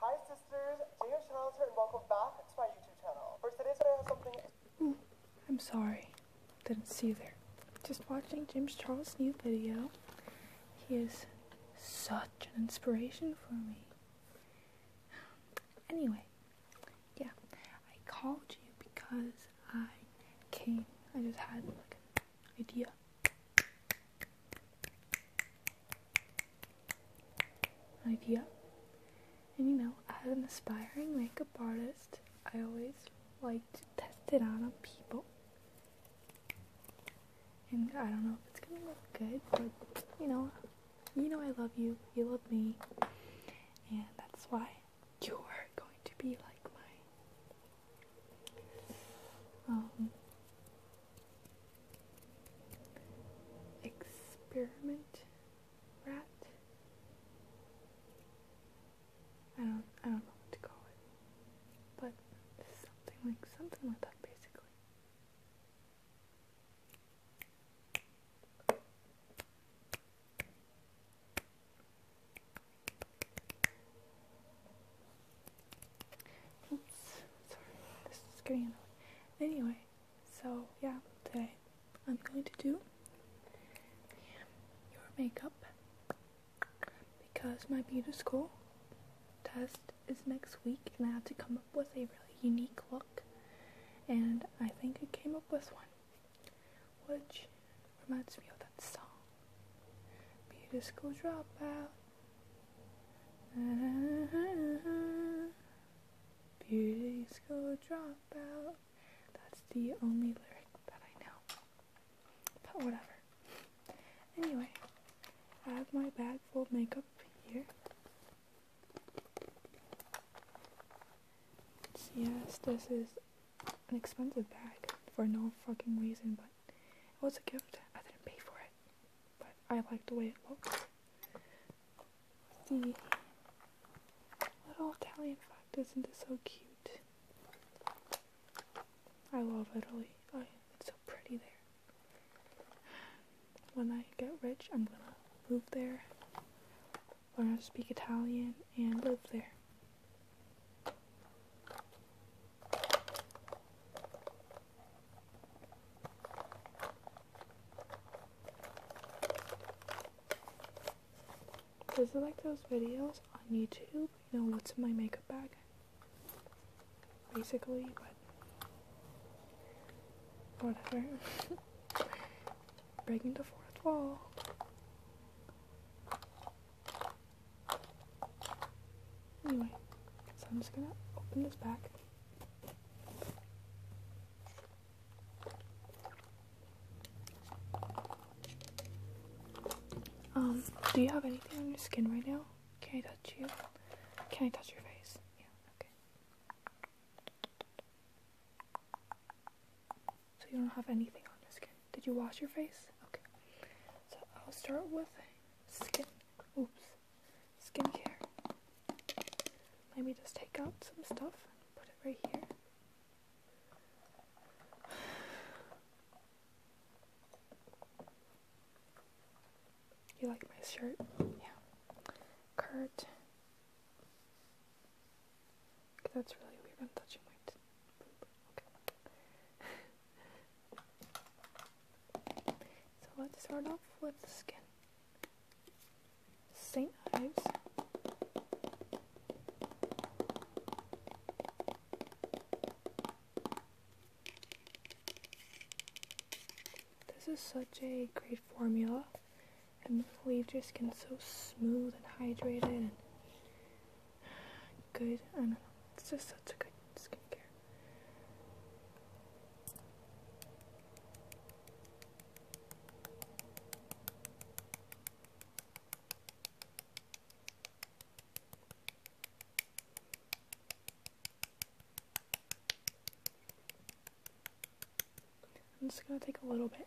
Hi sisters, James Charles here and welcome back to my YouTube channel. For today's video I have something- I'm sorry. Didn't see there. Just watching James Charles' new video. He is such an inspiration for me. Anyway, yeah, I called you because I came. I just had like a idea. Idea. And you know, as an aspiring makeup artist, I always like to test it on people. And I don't know if it's gonna look good, but you know, you know I love you, you love me, and that's why you're going to be like my um Experiment rat. I don't I don't know what to call it. But something like something like that basically. Oops, sorry, this is getting Anyway, so yeah, today I'm going to do your makeup because my beauty school test is next week and I have to come up with a really unique look and I think I came up with one which reminds me of that song be school dropout. Uh-huh. Beauty school dropout. That's the only lyric that I know. But whatever. Anyway, I have my bag full of makeup here. Yes, this is an expensive bag for no fucking reason, but it was a gift. I didn't pay for it, but I like the way it looks. The little Italian fact isn't it so cute? I love Italy. Oh, it's so pretty there. When I get rich, I'm gonna move there, learn to speak Italian, and live there. Does it like those videos on YouTube, you know, what's in my makeup bag? Basically, but whatever. Breaking the fourth wall. Anyway, so I'm just gonna open this back. Um, do you have anything on your skin right now? Can I touch you? Can I touch your face? Yeah, okay. So you don't have anything on your skin. Did you wash your face? Okay. So I'll start with skin, oops, skincare. Let me just take out some stuff and put it right here. You like my shirt? Yeah. Kurt. That's really weird. I'm touching my So let's start off with the skin. St. Ives. This is such a great formula and leaves your skin so smooth and hydrated good. I don't know. It's just such a good skincare. I'm just gonna take a little bit.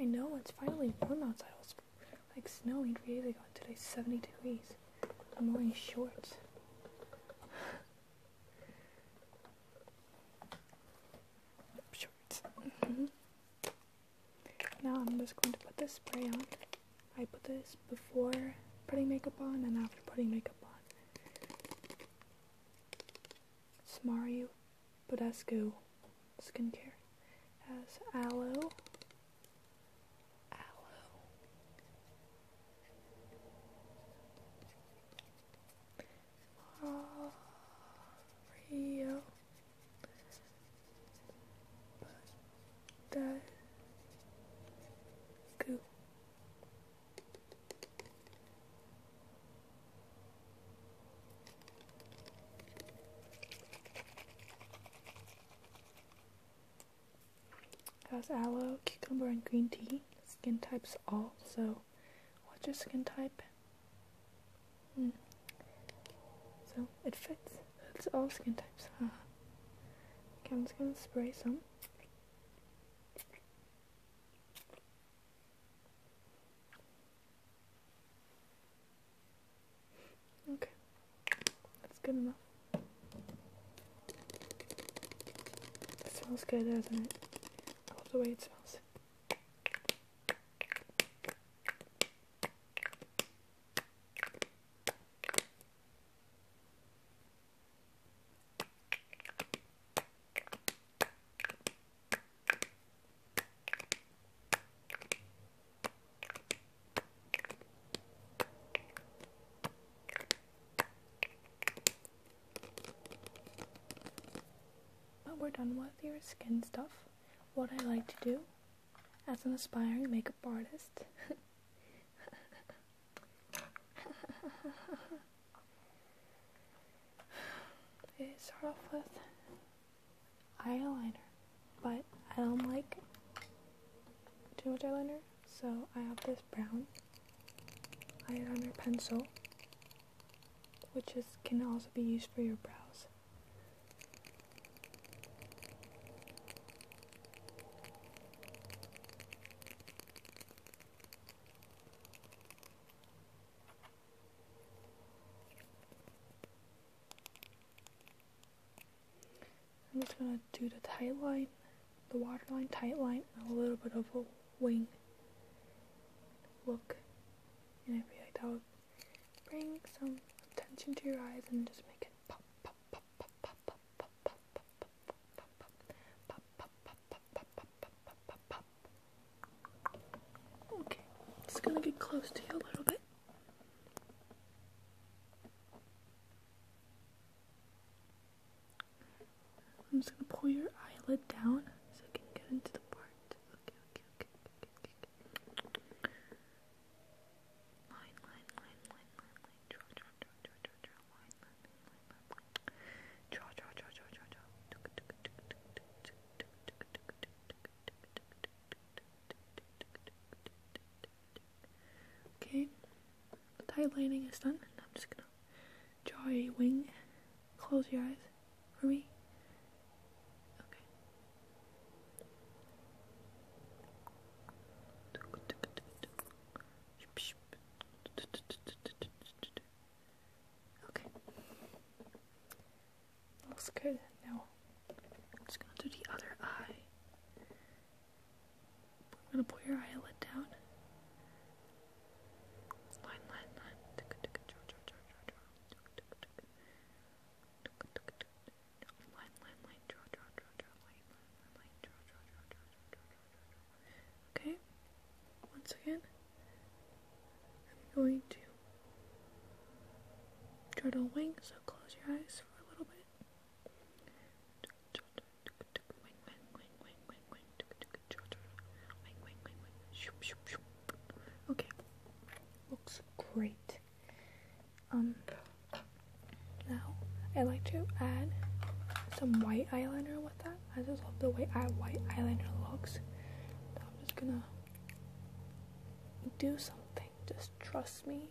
I know, it's finally warm outside. It was like snowing three days ago, and today's 70 degrees. I'm wearing shorts. shorts. Mm -hmm. Now I'm just going to put this spray on. I put this before putting makeup on and after putting makeup on. Smaru Badescu skincare has aloe, aloe, Mario Badescu has aloe, cucumber, and green tea. Skin types all. So, what's your skin type? Hmm. So it fits. It's all skin types. Huh? Okay, I'm just going spray some. Okay, that's good enough. It smells good, doesn't it? I the way it smells. But we're done with your skin stuff. What I like to do as an aspiring makeup artist okay, start off with eyeliner, but I don't like too much eyeliner, so I have this brown eyeliner pencil, which can also be used for your brows. I'm just going to do the tight line, the waterline tight line, and a little bit of a wing look. And I feel like that would bring some attention to your eyes and just make it pop, pop. Okay, just gonna get close to you a little bit. I'm just gonna pull your eyelid down so I can get into the part. Okay, okay, okay, okay, okay, okay. Line, line, line, line, line, line. Draw, draw, Okay, the lining is done. I'm just gonna draw a wing. Close your eyes for me. Okay. Okay. Looks good. Now I'm just to do the other eye. I'm gonna pull your eyelid down. Line, line, line. Line, line, line. Draw, draw, draw, draw. Line, line, line. Draw, draw, draw, draw, draw, draw. Okay, once again, I'm going to try to wing, so close your eyes for a little bit. Okay, looks great. Um, now I like to add some white eyeliner with that. I just love the way I white eyeliner looks. I'm just gonna do something. Just trust me.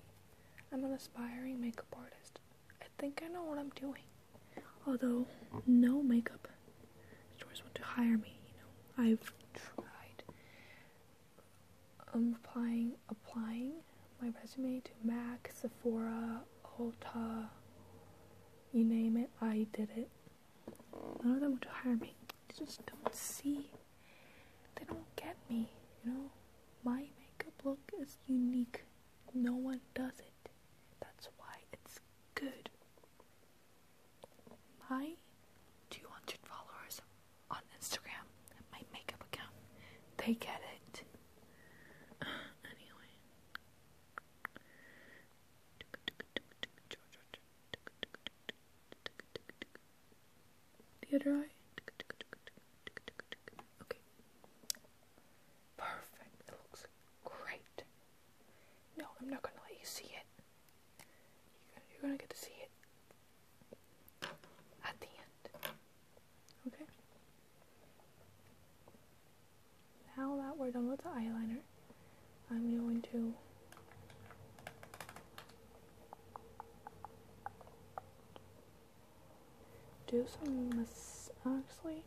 I'm an aspiring makeup artist. I think I know what I'm doing. Although no makeup stores want to hire me, you know. I've tried I'm applying applying my resume to MAC, Sephora, Ulta, you name it, I did it. None of them want to hire me. They just don't see. They don't get me, you know? My makeup look is unique. No one does it. That's why it's good. My 200 followers on Instagram, my makeup account, they get it. anyway, the other eye. Okay. Perfect. It looks great. No, I'm not gonna let you see it. You're gonna, you're gonna get to see it at the end. Okay. Now that we're done with the eyeliner, I'm going to do some mas actually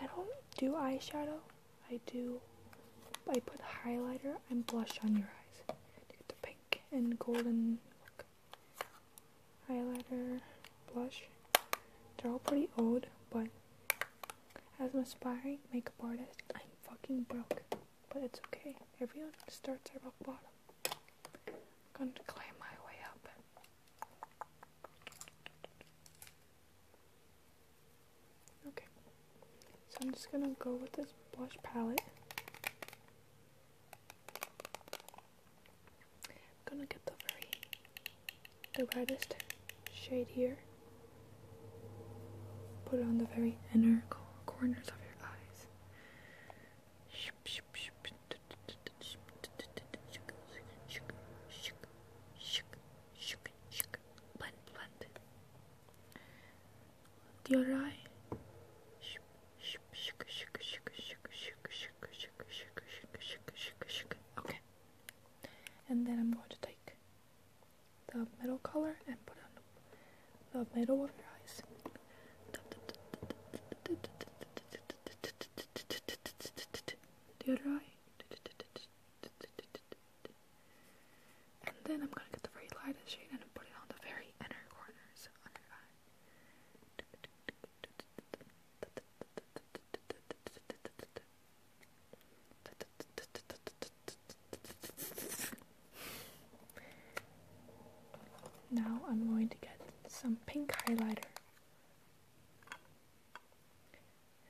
I don't do eyeshadow. I do I put highlighter and blush on your eyes to get the pink and golden look highlighter, blush. They're all pretty old, but as an aspiring makeup artist, I'm fucking broke. But it's okay. Everyone starts at rock bottom. I'm gonna climb my way up. Okay. So I'm just gonna go with this blush palette. I'm gonna get the very the brightest shade here. Put it on the very inner corners of your eyes. Blend, blend. The eye. Okay. And then I'm going to take the middle color and put on the middle of your eyes. The other eye. And then I'm gonna get the very lightest shade and put it on the very inner corners of your eye. Now I'm going to get some pink highlighter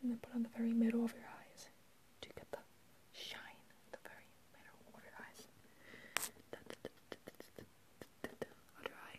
and then put on the very middle of your eyes to get the shine in the very middle of your eyes. Other eye.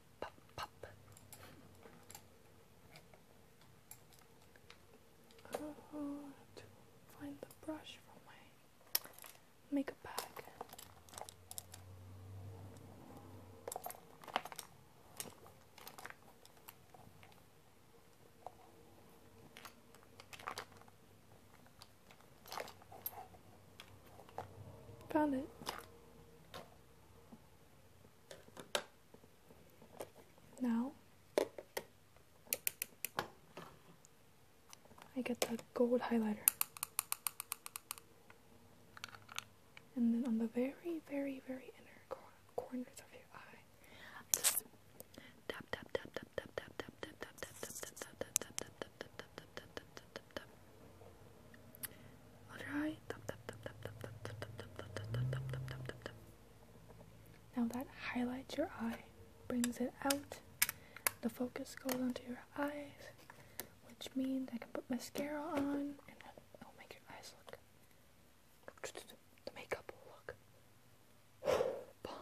pop, pop, I do to find the brush from my makeup bag. Found it. Now I get the gold highlighter. And then on the very, very, very inner corners of your eye, tap Now that highlights your eye, brings it out. The focus goes onto your eyes, which means I can put mascara on and it'll make your eyes look the makeup will look bomb.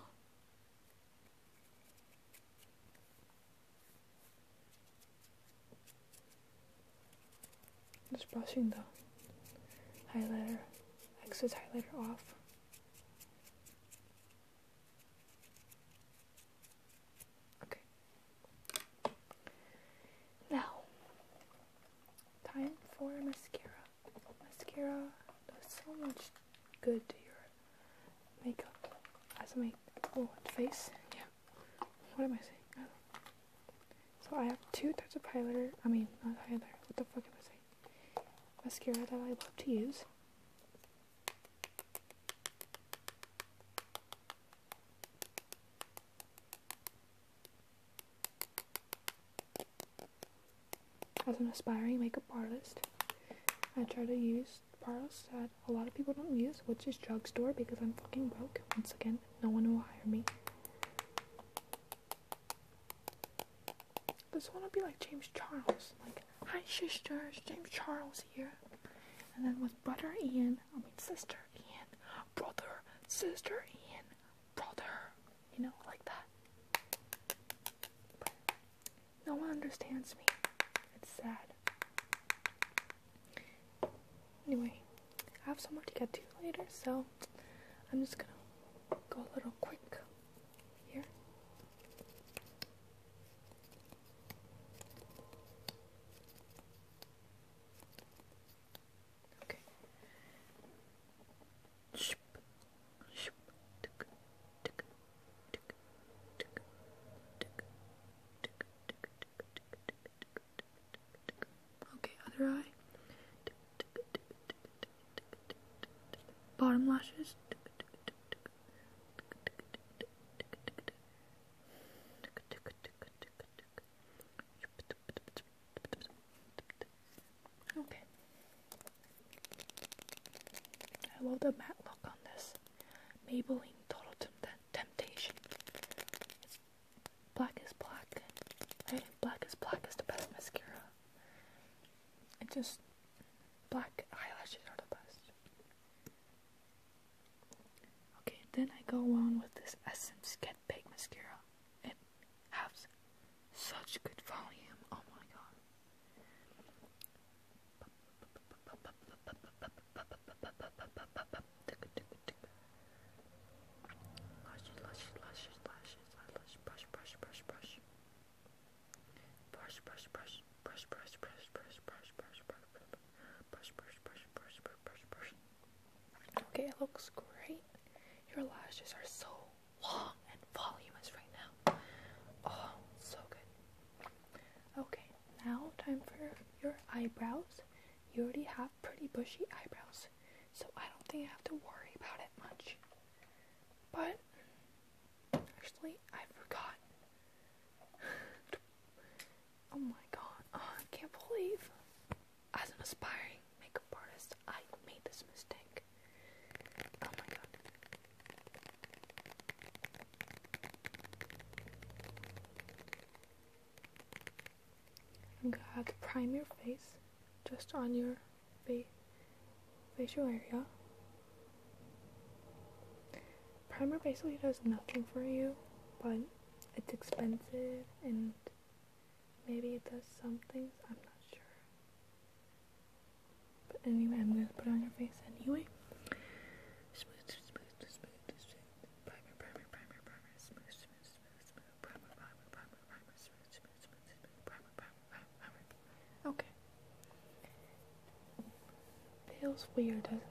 Just brushing the highlighter, exit highlighter off. Okay. Now, time for mascara. Mascara does so much good to your makeup as a make oh, face. Yeah. What am I saying? so I have two types of highlighter. I mean, not highlighter. What the fuck am I saying? Mascara that I love to use. As an aspiring makeup artist, I try to use Barros said a lot of people don't use Witch's Drugstore because I'm fucking broke. Once again, no one will hire me. This one would be like James Charles. Like, hi sister, James Charles here. And then with brother Ian, I mean sister Ian, brother, sister Ian, brother. You know, like that. no one understands me. It's sad. Anyway, I have somewhere to get to later, so I'm just gonna go a little quick here. Okay. Okay, other eye. Bottom lashes. Okay. I love the matte look on this Maybelline Total Tint Temptation. black is black, right? Black is black is the best mascara. It just black eyelashes are the best. Okay, then I go on with this Essence Get Big mascara. It has such good volume. Oh my god. Okay, it looks great. Your lashes are so long and voluminous right now. Oh, so good. Okay, now, time for your eyebrows. You already have pretty bushy eyebrows, so I don't think I have to worry about it much. But, actually, I forgot. oh my god, uh, I can't believe. As an aspiring makeup artist, I made this mistake. Oh my god. I'm gonna have to prime your face just on your fa facial area. Primer basically does nothing for you, but it's expensive and maybe it does some things, I'm not sure. But anyway, I'm gonna put on your face anyway smooth, smooth, smooth, smooth, primer, primer, primer, primer, Okay. Feels weird, doesn't it?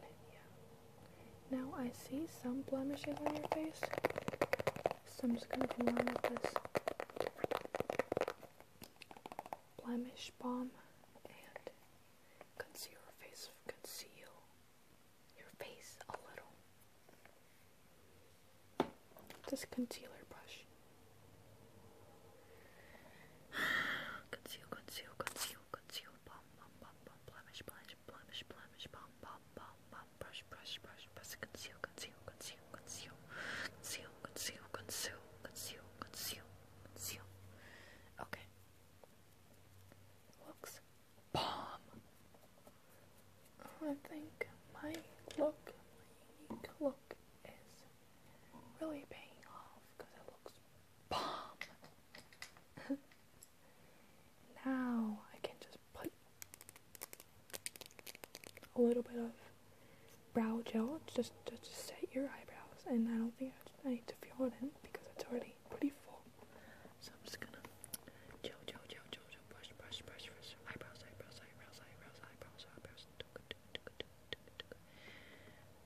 Yeah. Now I see some blemishes on your face, so I'm just gonna go on with this blemish balm and Conceal your face. Conceal your face a little. This concealer brush. conceal, conceal, conceal, conceal. Bum, bum, bum, bum. Blemish, blemish, blemish, blemish. Bum, bum, bum, bum. Brush, brush, brush. Press. Conceal, conceal, conceal, conceal. Conceal, conceal, conceal, conceal, conceal, conceal. Okay looks bomb. I think my look, my unique look, is really paying off because it looks bomb. now I can just put a little bit of brow gel just to set your eyebrows, and I don't think I, I need to fill it in because it's already pretty full. So I'm just gonna chill, chill, chill, chill, chill, brush, brush, brush, brush, eyebrows, eyebrows, eyebrows, eyebrows, eyebrows, eyebrows,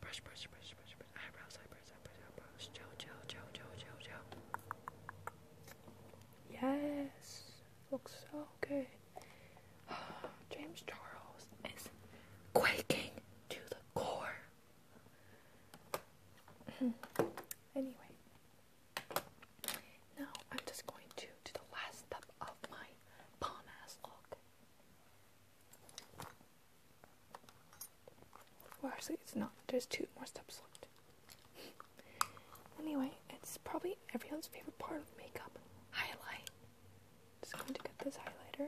brush, brush, brush, brush, brush, eyebrows, eyebrows, eyebrows, eyebrows, chill, chill, chill, chill, chill, Yes, looks so good. James Charles is quaking to the core. anyway, now I'm just going to do the last step of my bomb ass look. Well, actually, it's not. There's two more steps left. anyway, it's probably everyone's favorite part of makeup highlight. Just going to get this highlighter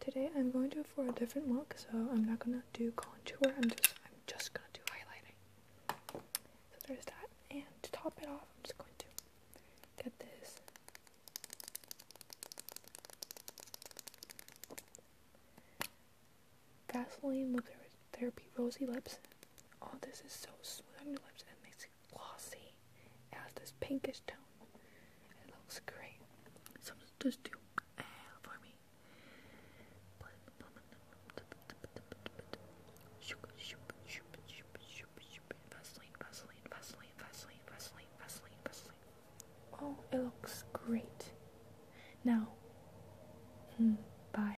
Today I'm going to for a different look, so I'm not gonna do contour. I'm just, I'm just gonna do highlighting. So there's that. And to top it off, I'm just going to get this Vaseline lip Therapy Rosy Lips. Oh, this is so smooth on your lips and makes it glossy. It has this pinkish tone. It looks great. So just do uh, for me. Oh, it looks great. Now, hmm, bye.